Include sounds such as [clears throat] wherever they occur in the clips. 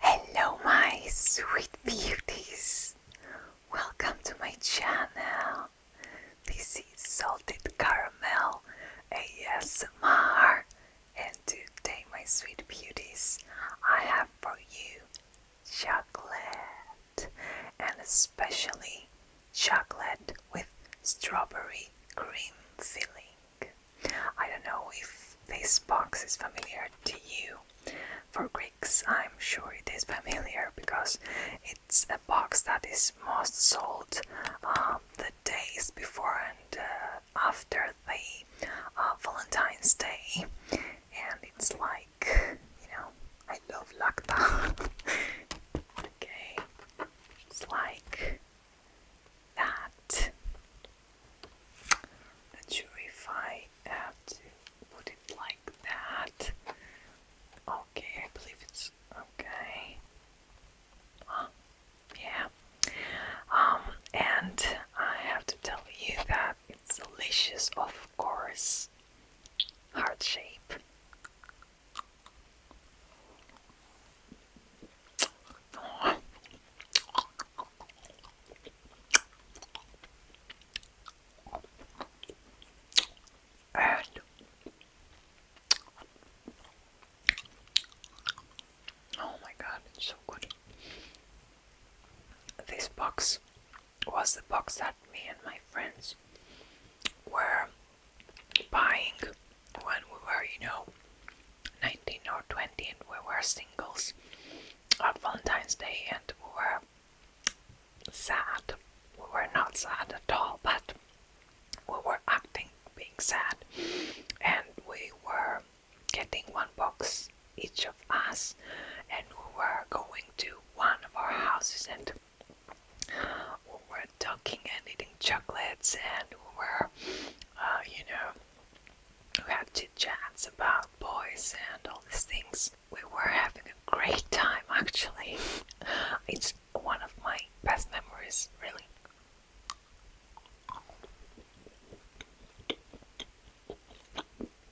Hello, my sweet beauties! Welcome to my channel. This is Salted Caramel ASMR, and today, my sweet beauties, I have for you chocolate, and especially chocolate with strawberry cream filling. I don't know if this box is familiar to you. For Greeks, I'm sure it is familiar because it's a box that is most sold um, the days before and uh, after the uh, Valentine's Day and it's like you know I love lacta. [laughs] okay, it's like that. Not sure if I have to put it like that. Okay, I believe it's okay. Yeah. Um, and I have to tell you that it's delicious, of course. Heart shape. And oh my god, it's so good. This box was the box that me and my friends were buying when we were, you know, 19 or 20 and we were singles on Valentine's Day and we were sad. We were not sad at all, but we were acting being sad and we were getting one box each of us, and we were going to one of our houses and we were talking and eating chocolates and we were, uh, you know, we had chit chats about boys and all these things. We were having a great time actually. [laughs] it's one of my best memories, really.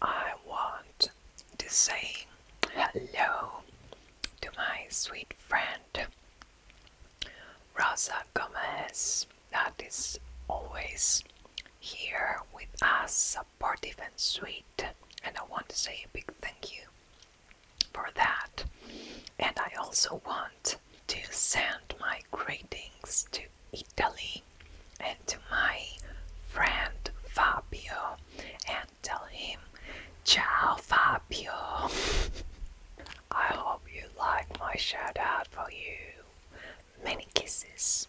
I want to say hello to my sweet friend Rosa Gomez, that is always here with us, supportive and sweet. And I want to say a big thank you for that. And I also want to send my greetings to Italy and to my friend Fabio and tell him, Ciao Fabio! [laughs] I hope you like my shout out for you. Many kisses.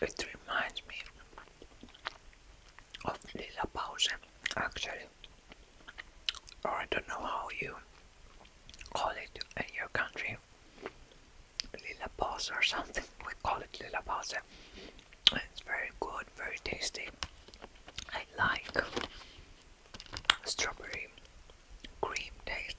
It reminds me of Lila Pause, actually, or I don't know how you call it in your country. Lila Pause or something, we call it Lila Pause. It's very good, very tasty. I like strawberry cream taste.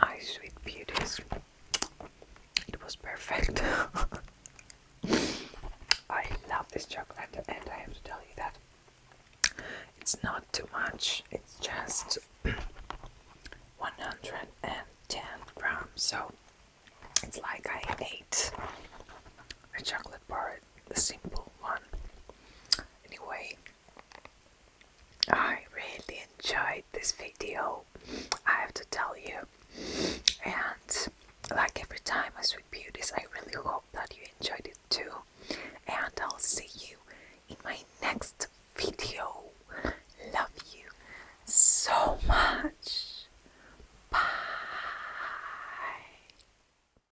My sweet beauties. It was perfect. [laughs] I love this chocolate, and I have to tell you that it's not too much, it's just [clears throat] 110 grams. So it's like I ate a chocolate bar the simple one. Anyway, I really enjoyed this video, I have to tell you. And like every time I sweet beauties, I really hope that you enjoyed it too. And I'll see you in my next video. Love you so much. Bye.